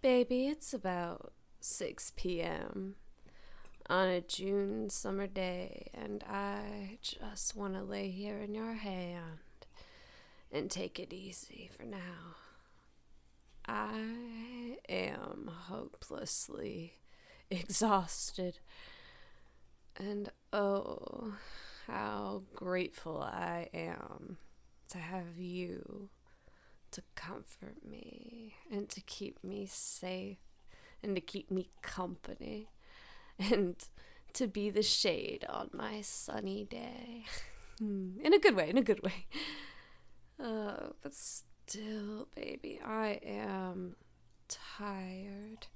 Baby, it's about 6 p.m. on a June summer day, and I just want to lay here in your hand and take it easy for now. I am hopelessly exhausted, and oh, how grateful I am to have you to comfort me and to keep me safe and to keep me company and to be the shade on my sunny day. in a good way, in a good way. Uh, but still, baby, I am tired.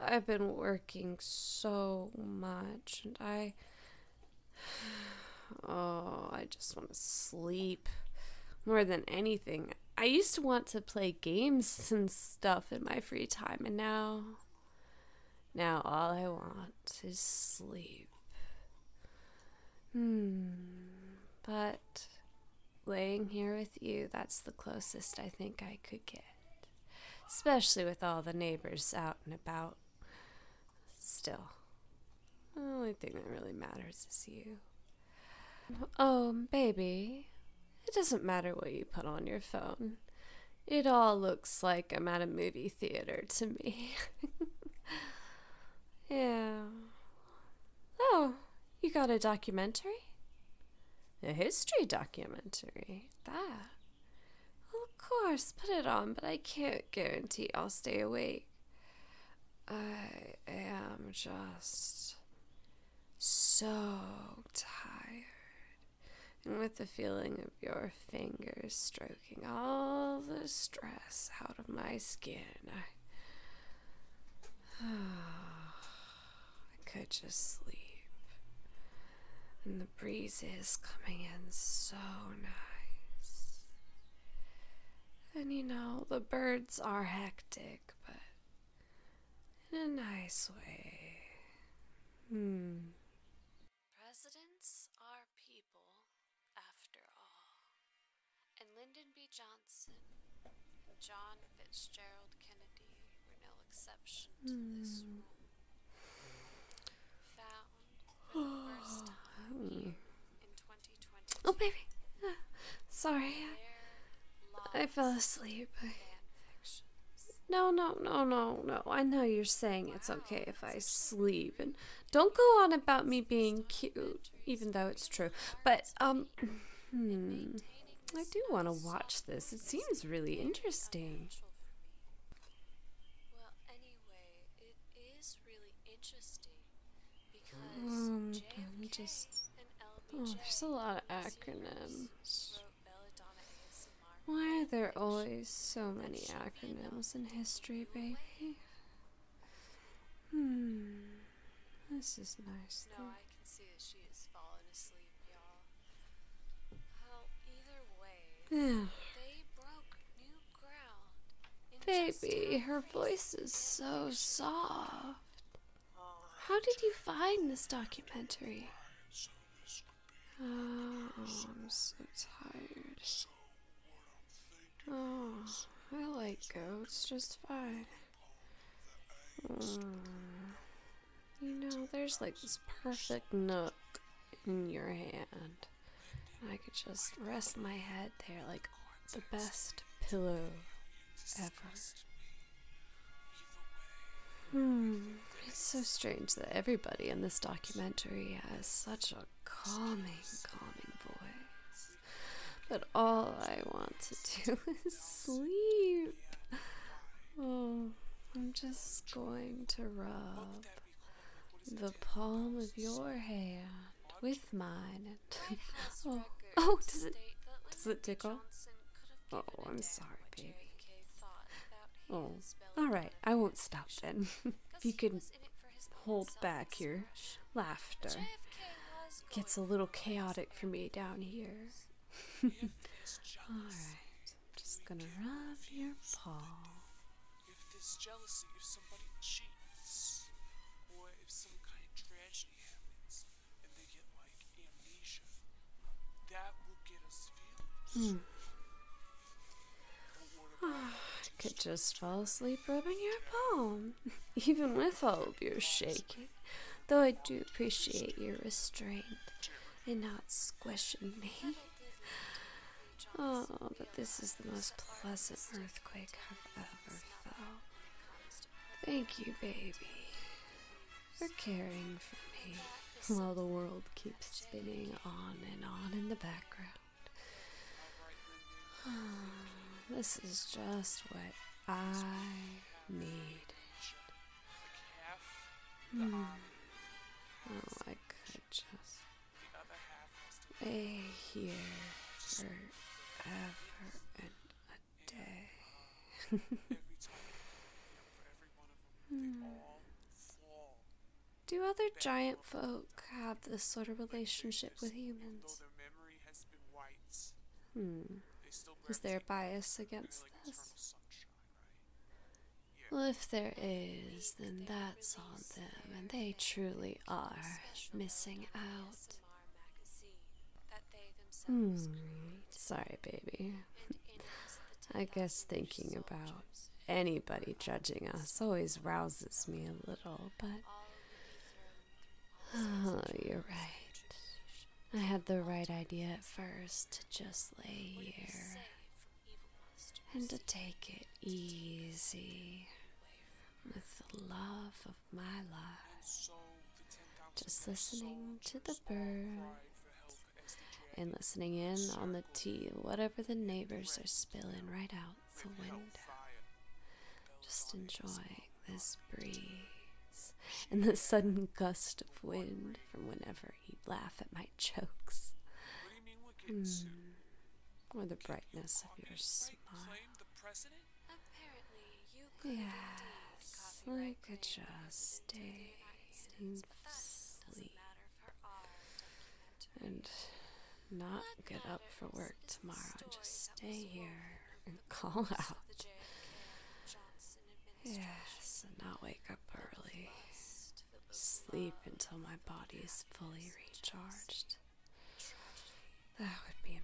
I've been working so much and I Oh, I just want to sleep more than anything. I used to want to play games and stuff in my free time, and now. Now all I want is sleep. Hmm. But laying here with you, that's the closest I think I could get. Especially with all the neighbors out and about. Still, the only thing that really matters is you. Oh, baby, it doesn't matter what you put on your phone. It all looks like I'm at a movie theater to me. yeah. Oh, you got a documentary? A history documentary. That of course, put it on, but I can't guarantee I'll stay awake. I am just so tired. And with the feeling of your fingers stroking all the stress out of my skin, I, could just sleep the breeze is coming in so nice. And you know, the birds are hectic, but in a nice way. Hmm. Presidents are people, after all. And Lyndon B. Johnson and John Fitzgerald Kennedy were no exception to this hmm. rule. Oh, baby. Ah, sorry. I fell asleep. I... No, no, no, no, no. I know you're saying it's okay if I sleep. And don't go on about me being cute, even though it's true. But, um, hmm, I do want to watch this. It seems really interesting. Well, anyway, it is really interesting because um, just... oh, there's a lot of acronyms. Why are there always so many acronyms in history, baby? Hmm. This is nice. Though. I can see that she has fallen asleep, y'all. Well, either way, they broke new ground. Baby, her voice is so oh, soft. How did you find this documentary? Oh, I'm so tired. Oh, I like goats just fine. You know, there's like this perfect nook in your hand. I could just rest my head there like the best pillow ever. Hmm, it's so strange that everybody in this documentary has such a calming, calming voice. But all I want to do is sleep. Oh, I'm just going to rub the palm of your hand with mine. oh, oh, does it does it tickle? Oh, I'm sorry, baby. Oh, all right. I won't stop then. if you could hold back your laughter, it gets a little chaotic for me down here. Alright, I'm just gonna rub your palm. If this jealousy if somebody cheats, or if some kind of tragedy happens and they get like amnesia, that will get us feelings. Hmm. Oh, I could just fall asleep rubbing your palm, even with all of your shaking though I do appreciate your restraint and not squishing me. Oh, but this is the most pleasant earthquake I've ever felt. Thank you, baby, for caring for me while the world keeps spinning on and on in the background. this is just what I need. Hmm. Oh, I could just lay here forever and a day. hmm. Do other giant folk have this sort of relationship with humans? Hmm. Is there a bias against this? Well, if there is, then that's on them, and they truly are missing out. Hmm, sorry, baby. I guess thinking about anybody judging us always rouses me a little, but Oh, you're right. I had the right idea at first to just lay here and to take it easy with the love of my life. Just listening to the birds and listening in on the tea, whatever the neighbors are spilling right out surrender. Just enjoying this breeze and the sudden gust of wind from whenever you laugh at my jokes. Hmm. Or the brightness of your smile. Yes, I could just stay and sleep and not get up for work tomorrow just stay here and call out. Yes, and not wake up early. Sleep until my body is fully recharged. That would be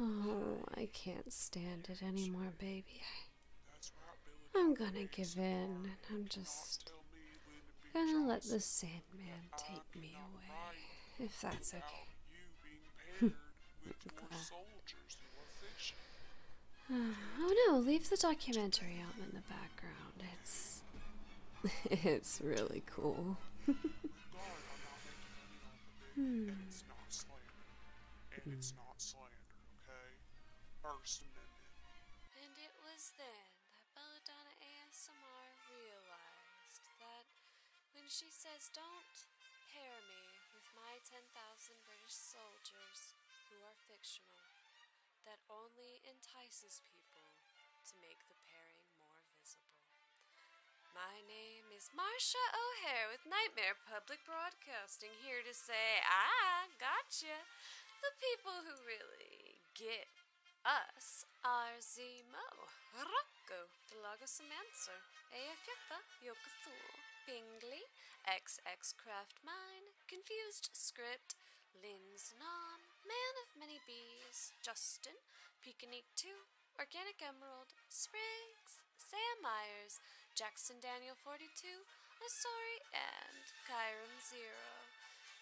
amazing. Oh, I can't stand it anymore, baby. I, am gonna give in, and I'm just gonna let this sand man take me away, if that's okay. Hmm. oh no, leave the documentary out in the background. It's. it's really cool. hmm. And it's not slander, okay? First Amendment. And it was then that at Belladonna ASMR realized that when she says, Don't pair me with my 10,000 British soldiers who are fictional, that only entices people to make the pairing more visible. My name is Marcia O'Hare with Nightmare Public Broadcasting, here to say, I gotcha. The people who really get us Arzimo, Rocco, Delaga Semancer, Eafyata, Yokathul, Pingley, X Craft Mine, Confused Script, Lin's Non, Man of Many Bees, Justin, Peekanique 2, Organic Emerald, Springs, Sam Myers, Jackson Daniel 42, a sorry end, Chiron Zero.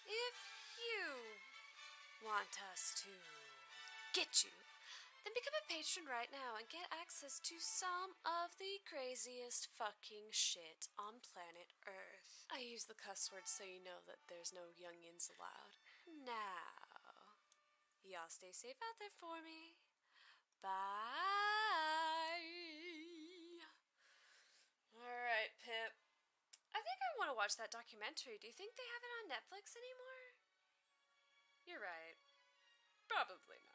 If you want us to get you, then become a patron right now and get access to some of the craziest fucking shit on planet Earth. I use the cuss words so you know that there's no youngins allowed. Now, y'all stay safe out there for me. Bye. Alright, Pip. I think I want to watch that documentary. Do you think they have it on Netflix anymore? You're right. Probably not.